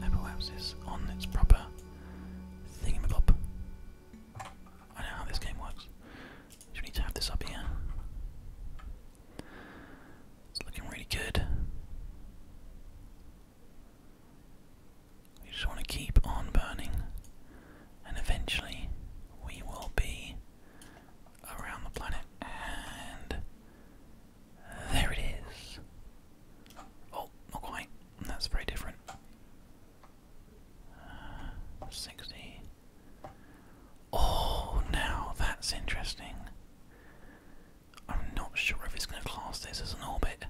the apoapsis on its proper thingamabob. I know how this game works. we need to have this up here. It's looking really good. We just want to keep on burning, and eventually we will be around the planet. And there it is. Oh, not quite. That's very different. Uh, 60. Oh, now that's interesting. I'm not sure if it's going to class this as an orbit.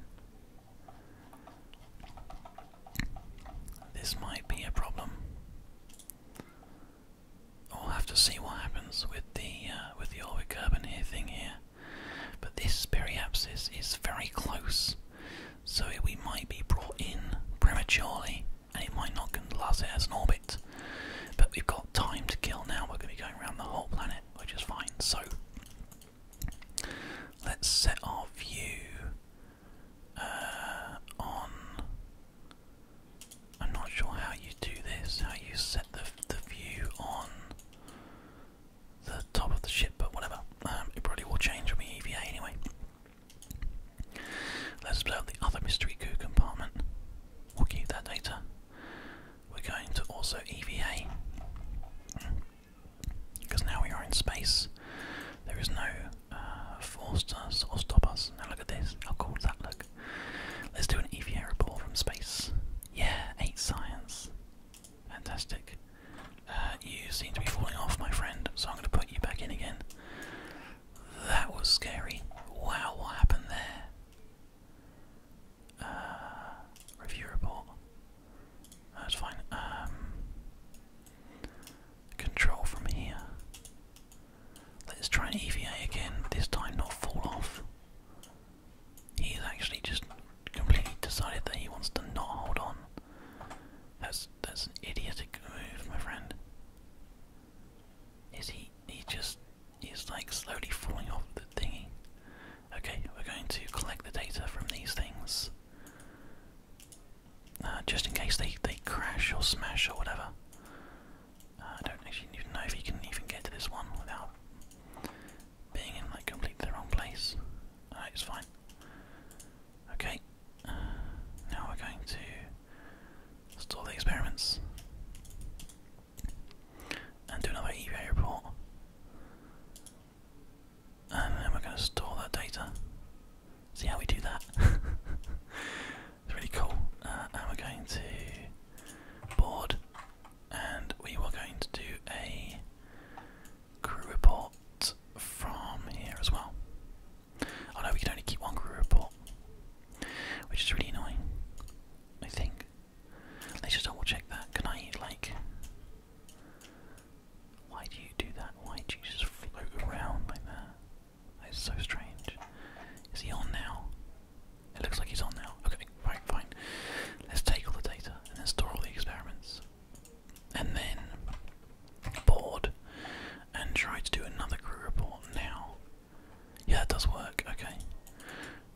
This might be a problem. I'll have to see what happens with the uh, with the Orwick urban here thing here. But this periapsis is very close, so we might be brought in prematurely, and it might not last it as an orbit. But we've got time to kill now. We're going to be going around the whole planet, which is fine. So Let's set our view uh, on. I'm not sure how you do this, how you set the, the view on the top of the ship, but whatever. Um, it probably will change on the EVA anyway. Let's observe the other mystery goo compartment. We'll keep that data. We're going to also EVA. Because now we are in space. There is no uh, force to us or stop us. Now look at this. How cool does that look? Let's do an EVA report from space. Yeah, 8 science. Fantastic. Uh, you seem to be falling off, my friend, so I'm going to put you back in again. That was scary. Wow, what happened there? Uh, review report. That's fine. Um, control from here. Let's try EVA again, this time not fall off. He's actually just completely decided that he wants to not hold on. That's that's an idiotic move, my friend. Is he he just he's like slowly falling off the thingy. Okay, we're going to collect the data from these things. Uh, just in case they, they crash or smash or whatever. Uh, I don't actually even know if you can even get to this one without being in like completely the wrong place. Uh, it's fine. Okay, now we're going to store the experiments and do another EVA report and then we're going to store that data. See how we do that. it's really cool. Uh, and we're going to board, and we are going to do a crew report from here as well. Oh no, we can only keep one crew report, which is really annoying. I think. Let's just double check that. Can I like why do you do that? Why do you just float around like that? It's so strange. Is he on now? It looks like he's on now. Okay, right, fine. Let's take all the data and store all the experiments. And then board and try to do another crew report now. Yeah, that does work, okay.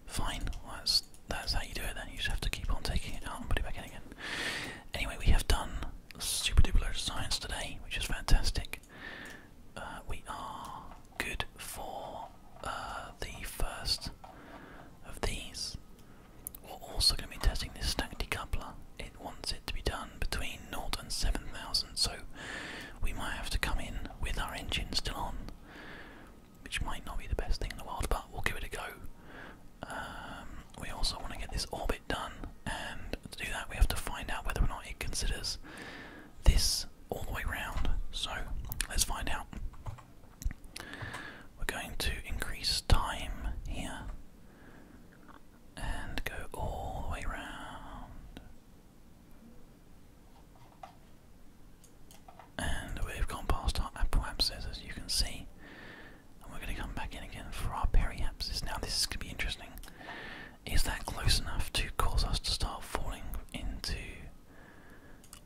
Fine, well, that's that's how you do it then. You just have to keep on taking it out and put it back in again. Anyway, we have done super duper loads of science today, which is fantastic. Uh, we are good for uh, the first of these. We're also going to be testing this stack decoupler. It wants it to be done between 0 and 7000, so we might have to come in with our engine still on, which might not be the best thing in the world, but we'll give it a go. Um, we also want to get this orbit done, and to do that, we have to find out whether or not it considers this all the way round. So let's find out. We're going to increase time here and go all the way round. And we've gone past our apoapsis, as you can see. And we're going to come back in again for our periapsis. Now, this is going to be interesting. Is that close enough to cause us to start falling into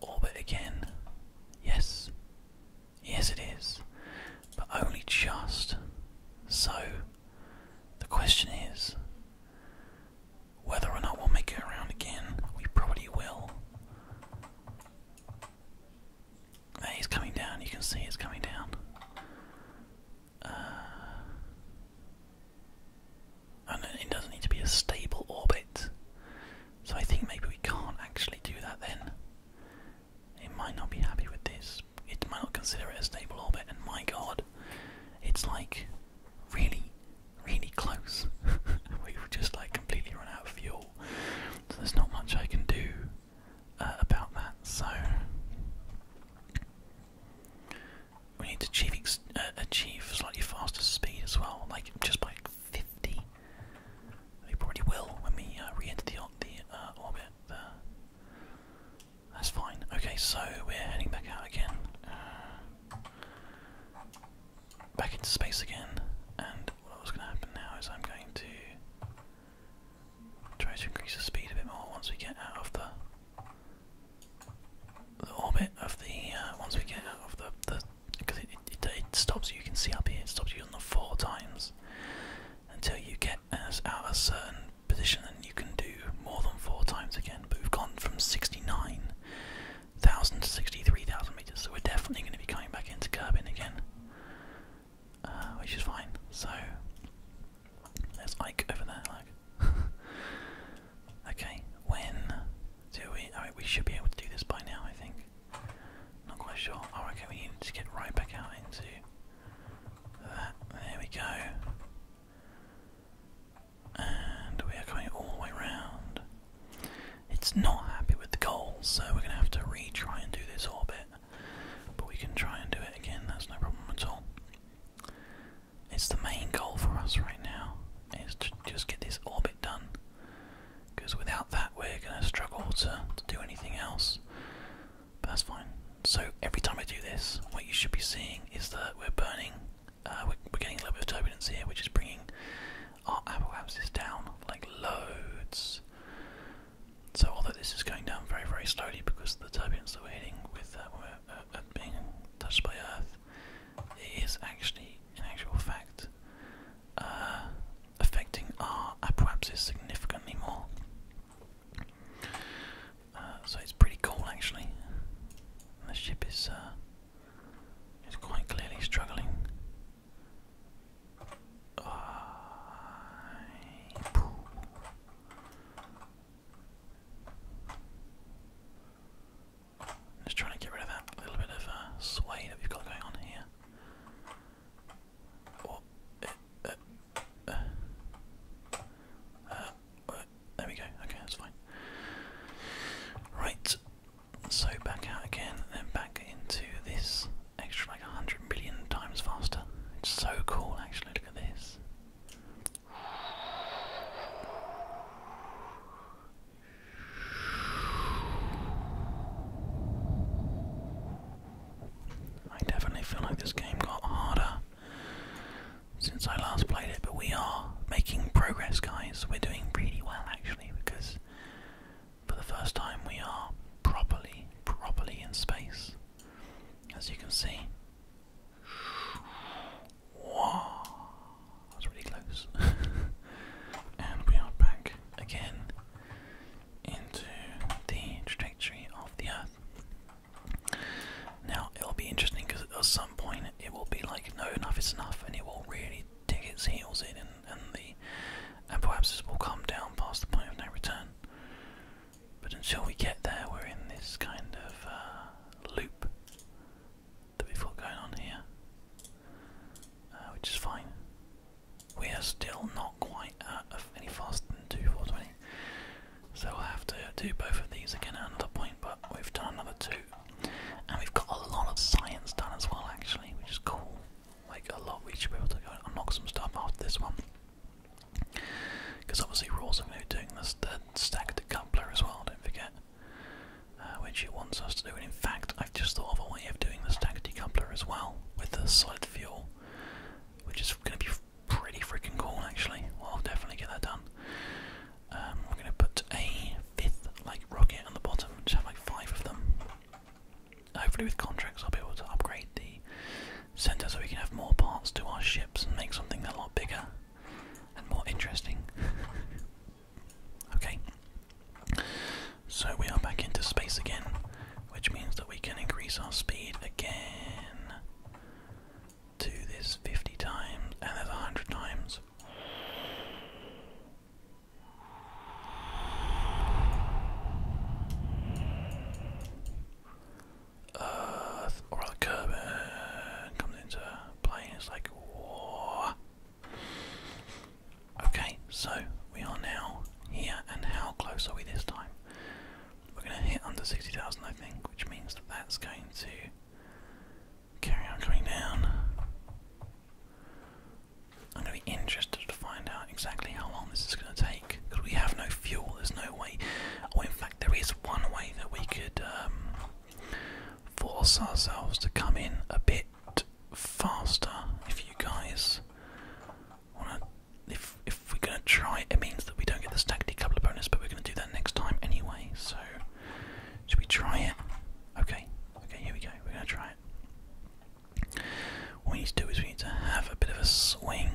orbit again? Yes. Yes, it is. But only just. So, the question is whether or not we'll make it around again. We probably will. And uh, he's coming down, you can see it's coming down. Uh, and it doesn't need to be a stable orbit. So I think maybe we can't actually do that then. It might not be happy with this. It might not consider it a stable orbit, and my god, it's like really, really close. we would just like completely run out of fuel. So there's not much I can do. Uh, about that. So we need to achieve uh, achieve slightly faster speed as well, like just by fifty. We probably will when we uh, re-enter the, the orbit. That's fine. Okay, so we're heading back out again. back into space again, and what was going to happen now is I'm going to try to increase the speed a bit more once we get out of the the orbit of the uh, once we get out of the because the, it, stops you. can see up here it stops you on the four times until you get us out a certain position, and you can do more than four times again. But we've gone from sixty nine thousand to sixty three thousand meters, so we're definitely going to be coming back into Kerbin again. Uh, which is fine. So there's Ike over there. Like, okay, when do we? I we should be able to do this by now, I think. Not quite sure. Oh, okay, we need to get right back out into that. There we go. And we are going all the way around. It's not happy with the goal, so we're going to have to retry and do this orbit. But we can try and do it again, that's no problem at all. It's the main goal for us right now, is to just get this orbit done. Because without that we're going to struggle to, do anything else. But that's fine. So every time I do this, what you should be seeing is that we're burning, uh, we're, getting a little bit of turbulence here, which is bringing our apple abscess down like loads. So although this is going down very very slowly because of the turbulence that we're hitting with uh, we're, uh, uh, being touched by Earth, it is actually, in actual fact, uh, affecting our apoapsis significantly more. so it's pretty cool actually. The ship is is quite clearly struggling just trying to get rid of that little bit of uh, sway that we've got going on here. Oh, eh, eh, eh. Uh, there we go. Okay, that's fine. Right, so back out again, then back into this extra like 100 million times faster. It's so cool actually, look at this. I definitely feel like this game got harder since I last played it, but we are making progress, guys. We're doing really well actually because for the first time, we are properly, properly in space. As you can see. Wow, that really close. and we are back again into the trajectory of the Earth. Now, it'll be interesting because at some point it will be like, no, enough is enough, and it will really dig its heels in and the this will come down past the point of no return. But until we get there, we're in this kind of uh, loop that we've got going on here, uh, which is fine. We are still not quite any faster than two, 2420, so we'll have to do both of these again at another point, but we've done another two. And we've got a lot of science done as well, actually, which is cool like a lot. We should be able to go and knock some stuff after this one. Because obviously we're also going to be doing this, the stack decoupler as well, don't forget. Uh, which it wants us to do, and in fact I've just thought of a way of doing the stack decoupler as well, with the solid fuel. Which is going to be pretty freaking cool actually, I'll definitely get that done. Um, we're going to put a fifth like rocket on the bottom, just have like five of them hopefully with contracts I'll be able to upgrade the centre so we can have more parts to our ships and make something a lot bigger and more interesting. okay. So we are back into space again, which means that we can increase our speed again to this 50 times and there's 100 times. Uh, Oral comes into play it's like, whoa. Okay, so we are now here, and how close are we this time? We're going to hit under 60,000, I think, which means that that's going to carry on coming down. I'm going to be interested to find out exactly how long this is going to take because we have no fuel. There's no way. Oh, in fact, there is one way that we could um, force ourselves to come in a bit faster. If you guys want to, if if we're going to try, it means that we don't get the stack decoupler bonus, but we're going to do that next time anyway. So, should we try it? Okay, okay, here we go. We're going to try it. What we need to do is we need to have a bit of a swing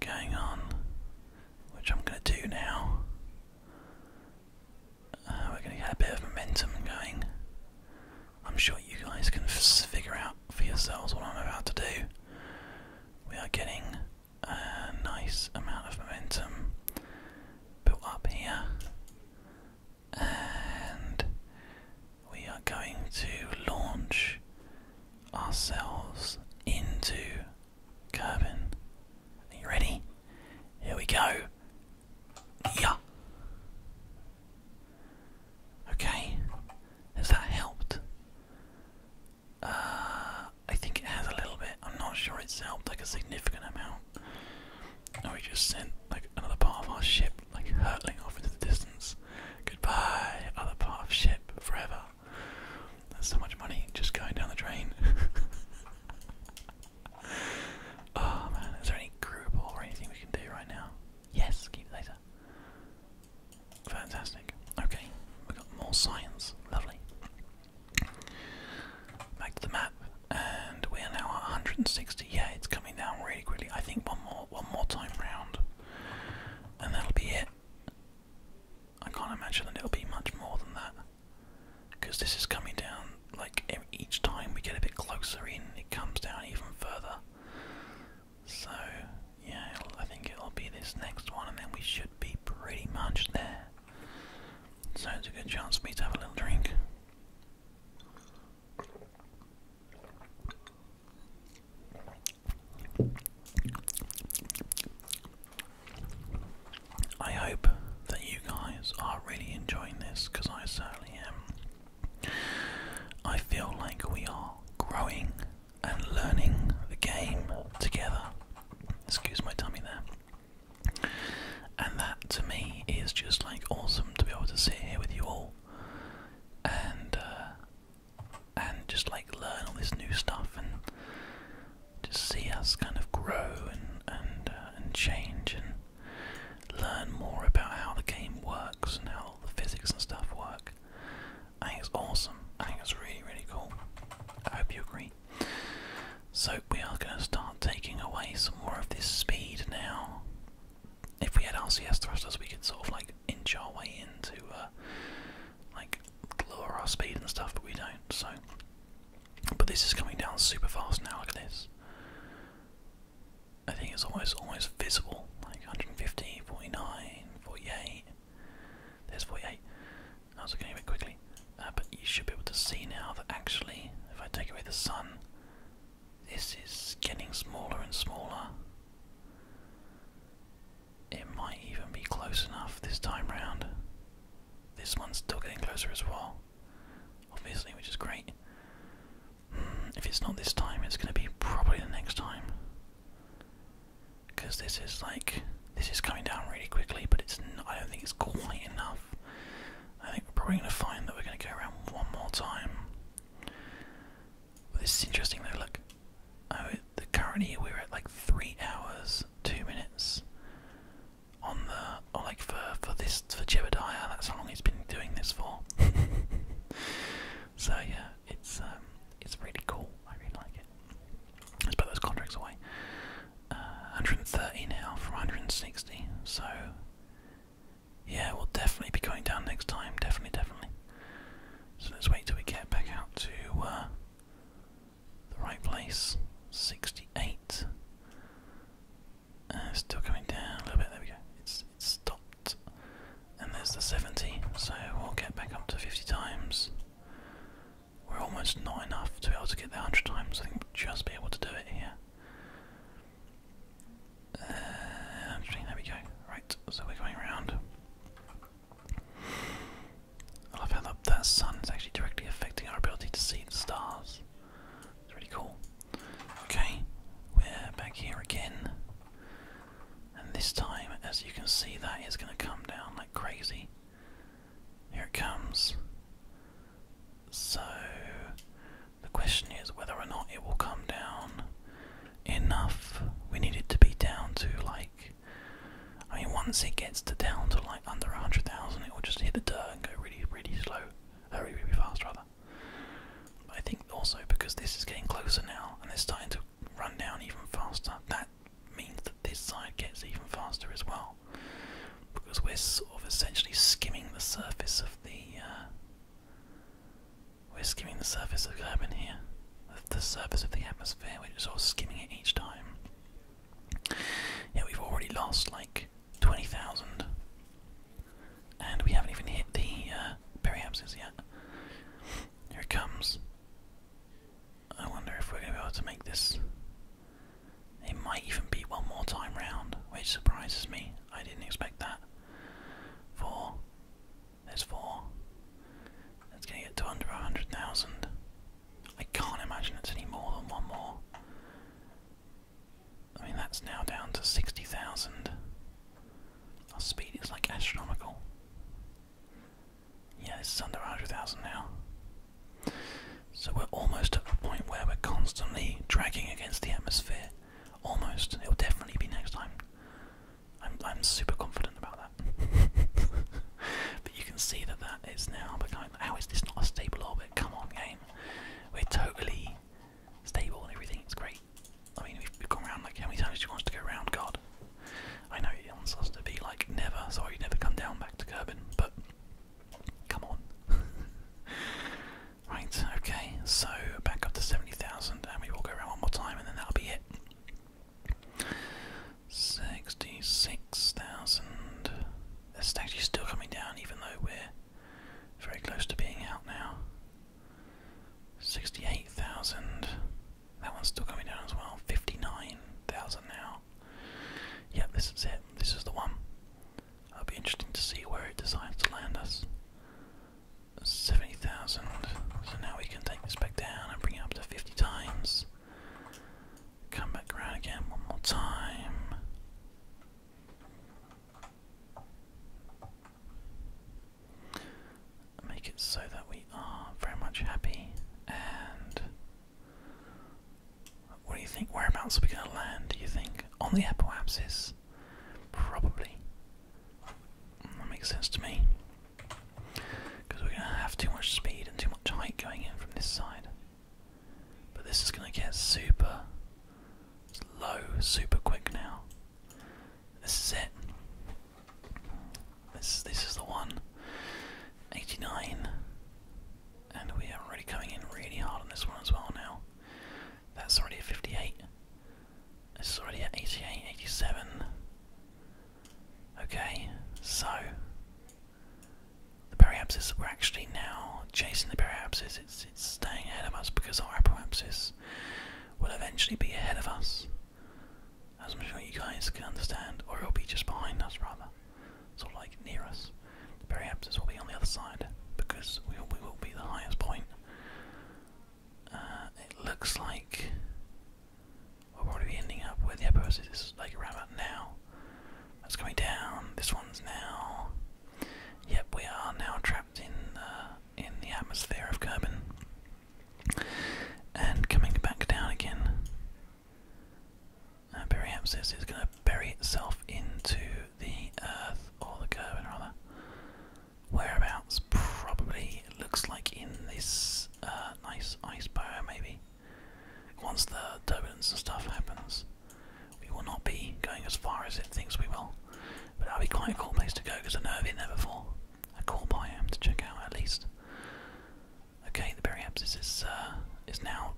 going on, which I'm going to do now. Uh, we're going to get a bit of momentum going. I'm sure you guys can figure out for yourselves what I'm about to do. We are getting a nice amount of momentum built up here and we are going to launch ourselves into carbon. Are you ready? Here we go. Yeah. Okay. Has that helped? Uh, I think it has a little bit. I'm not sure it's helped like a significant amount. And we just sent like another part of our ship like hurtling off into the distance. Goodbye, other part of ship forever. That's so much money just going down the drain. oh man, is there any group or anything we can do right now? Yes, keep it later. Fantastic. Okay, we've got more science. Lovely. Back to the map, and we are now at 160. Yeah, it's coming down really quickly. I think one more one more time round, and that'll be it. I can't imagine that it'll be much more than that, because this is coming down. Like each time we get a bit closer in, it comes down even further. So yeah, I think it'll be this next one, and then we should be pretty much there. Sounds a good chance for me to have a little drink. I hope that you guys are really enjoying this because I certainly am. I feel like we are growing and learning the game together. Excuse my tummy there. And that to me is just like awesome to be able to sit here with you all and uh, and just like learn all this new stuff and just see us kind of grow and and uh, and change and learn more about how the game works and how the physics and stuff work. I think it's awesome. I think it's really really cool. I hope you agree. So we are going to start taking away some more of this speed now if we had RCS thrusters, we could sort of like inch our way into uh, like lower our speed and stuff, but we don't. So, but this is coming down super fast now. Look at this. I think it's almost almost visible. Like 150, 49, 48. There's 48. I was looking at it quickly, uh, but you should be able to see now that actually, if I take away the sun, this is getting smaller and smaller. It might even be close enough this time round. This one's still getting closer as well, obviously, which is great. Hmm, if it's not this time, it's going to be probably the next time. Because this is like, this is coming down really quickly, but it's not, I don't think it's quite enough. I think we're probably going to find that we're going to go around one more time this is interesting look. Oh, the current we're at like three hours, two minutes. On the, like for, for this, for Jebediah, that's how long he's been doing this for. so yeah, it's um, it's really cool. I really like it. Let's put those contracts away. 130 uh, now from 160, so yeah, we'll definitely be going down next time. Definitely, definitely. So let's wait till we get back out to uh, the right place. 68. Uh, still coming down a little bit. There we go. It's, it's stopped. And there's the 70. So we'll get back up to 50 times. We're almost not enough to be able to get the 100 times. I think we'll just be able to do it here. Uh, there we go. Right, so we're going around. I love how that sun is actually directly affecting our ability to see the stars. It's really cool. Okay, we're back here again. And this time, as you can see, that is going to come down like crazy. Here it comes. So, the question is whether or not it will come down enough. We need it to be down to like. I mean, once it gets to down to like under 100,000, it will just hit the dirt and go really, really slow. Uh, really, fast, rather. I think also because this is getting closer now and it's starting to run down even faster, that means that this side gets even faster as well. Because we're sort of essentially skimming the surface of the. Uh, we're skimming the surface of carbon here, the surface of the atmosphere, we're just all skimming it each time. Yeah, we've already lost like 20,000, and we haven't even hit the uh, yet. Here it comes. I wonder if we're going to be able to make this. It might even be one more time round, which surprises me. I didn't expect that. For there's four. It's gonna get to under a hundred thousand. I can't imagine it's any more than one more. I mean, that's now down to 60,000. Our speed is like astronomical. Yeah, this is under 100,000 now. So we're almost at the point where we're constantly dragging against the atmosphere. Almost. It'll definitely be next time. I'm I'm super confident about that. but you can see that that is now becoming. How is this not a stable orbit? Come on, game. We're totally stable and everything. It's great. I mean, we've gone around like how many times do you want us to go around? God, I know it wants us to be like never. Sorry, you never come down back to Kerbin, but come on. right. Okay. So back up to seventy thousand thousand, and we will go around one more time, and then that'll be it. Sixty-six thousand. That's actually still coming down, even though we're very close to being out now. Sixty-eight thousand. That one's still coming down as well. Fifty-nine thousand now. Yep, this is it. This is the one. It'll be interesting to see where it decides to land us. 70,000. So now we can take this back down and bring it up to 50 times. Come back around again one more time. Make it so that we are very much happy. And what do you think? Whereabouts are we going to land, do you think? On the apple Probably. That makes sense to me. Because we're going to have too much speed and too much height going in from this side. But this is going to get super low, super quick now. This is it. This, this is the one. 89. And we are already coming in really hard on this one as well now. That's already 58. It's already at 88, 87. Okay, so the periapsis, we're actually now chasing the periapsis. It's, it's staying ahead of us because our apoapsis will eventually be ahead of us. As I'm sure you guys can understand, or it'll be just behind us rather. Sort of like near us. The periapsis will be on the other side because we we will be the highest point. Uh, it looks like we'll probably be ending up where the upper is. like around now. That's coming down. This one's now. Yep, we are now trapped in uh, in the atmosphere of Kerbin, and coming back down again. Periapsis uh, is going to bury itself into the earth, or the Kerbin rather whereabouts probably looks like in this uh, nice ice bar, maybe once the turbulence and stuff happens we will not be going as far as it thinks we will but that'll be quite a cool place to go because I have never been there before a cool biome to check out at least okay the periapsis is uh, is now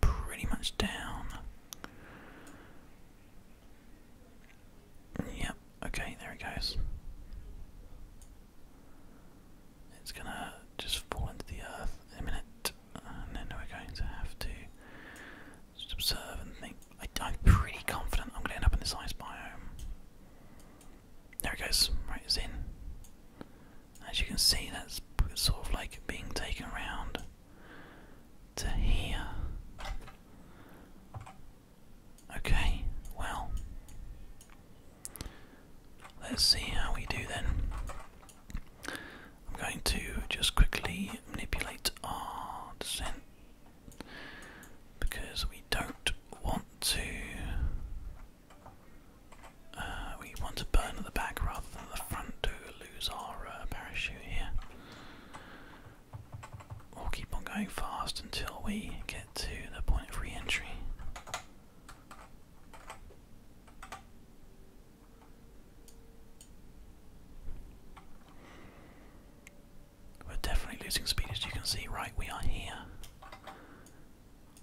pretty much down Yep, okay, there it goes. It's gonna just fall into the earth in a minute, and then we're going to have to just observe and think. I, am pretty confident I'm gonna end up in this ice biome. There it goes, right, it's in. As you can see, that's sort of like being taken around to here. Okay, well, let's see how we do then. I'm going to just quickly manipulate our descent because we don't want to. Uh, we want to burn at the back rather than the front to lose our uh, parachute here. We'll keep on going fast until we get to the point of re entry. We're definitely losing speed as you can see, right? We are here.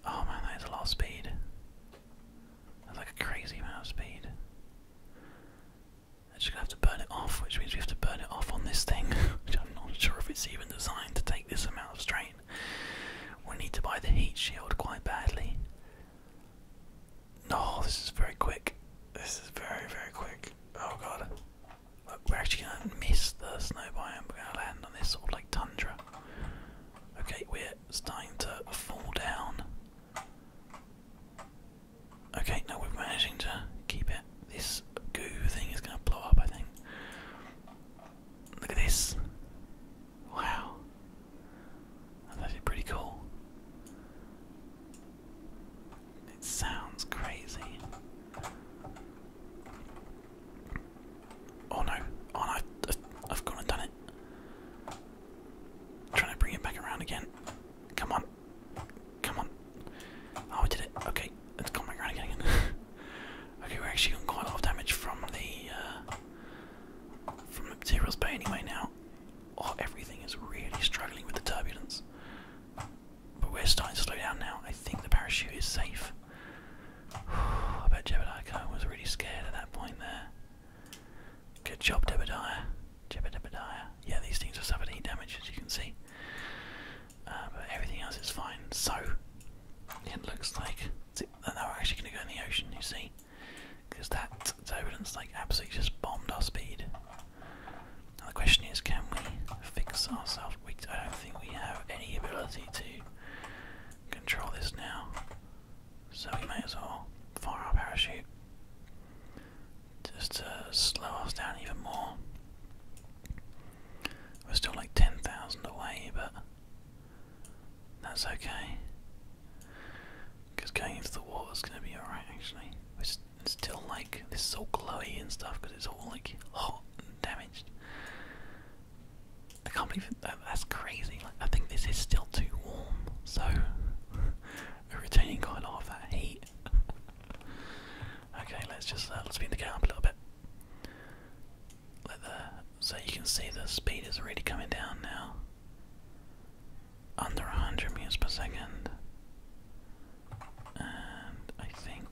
Oh man, that is a lot of speed. That's like a crazy amount of speed. I'm just gonna have to burn it off, which means we have to burn it off on this thing, I'm not sure if it's even designed to take this amount of strain. we need to buy the heat shield quite badly. oh, this is very quick. This is very, very quick. Oh god. Look, we're actually gonna miss the snow biome. We're gonna land on this sort of like tundra. Okay, we're starting to fall down. Okay, now we're managing to keep it. This goo thing is gonna blow up, I think. Look at this. Wow. That's pretty cool. It sounds crazy. Oh no. Oh I've, gone and done it. trying to bring it back around again. Come on. Come on. I oh, did it. Okay, let's come back around again. okay, we're actually on quite a lot of damage from the uh, from the materials bay anyway now. Oh, everything is really struggling with the turbulence. But we're starting to slow down now. I think the parachute is safe. I bet Jebadiah was really scared at that point there. Good job, Jebadiah. Jebediah. Yeah, these things are suffering heat damage, as you can see. Uh, but everything else is fine. So it looks like see, we're actually going to go in the ocean. You see, because that turbulence like absolutely just bombed our speed. Now the question is, can we fix ourselves? We I don't think we have any ability to control this now, so we may as well fire our parachute just to slow us down even more. We're still like 10,000 away, but that's okay. Because going into the is going to be alright, actually. It's, it's still like, this is all glowy and stuff because it's all like hot and damaged. I can't believe that, that's crazy. Like, I think this is still too warm, so we retaining quite a lot of that heat. Okay, let's just uh, let's speed the car up a little bit. so you can see the speed is really coming down now. Under 100 meters per second. And I think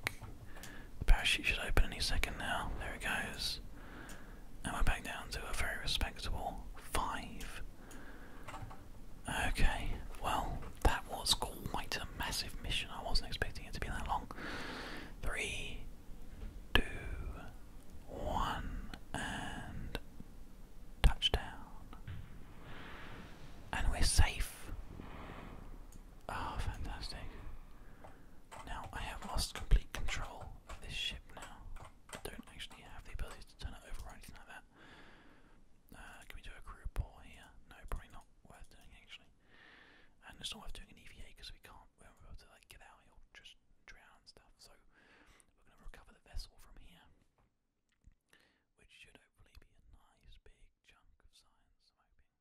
the parachute should open any second now. There it goes. And we're back down to a very respectable 5. Okay, well, that was quite a massive mission. I wasn't expecting it to be that long. Three, two, one, and touchdown. And we're safe. Oh, fantastic. Now I have lost complete control of this ship now. I don't actually have the ability to turn it over or anything like that. Uh, can we do a crew pour here? No, probably not worth doing actually. And it's not worth doing an EVA because we can't, we won't be able to like get out, he just drown and stuff. So we're going to recover the vessel from here, which should hopefully be a nice big chunk of science, I'm hoping.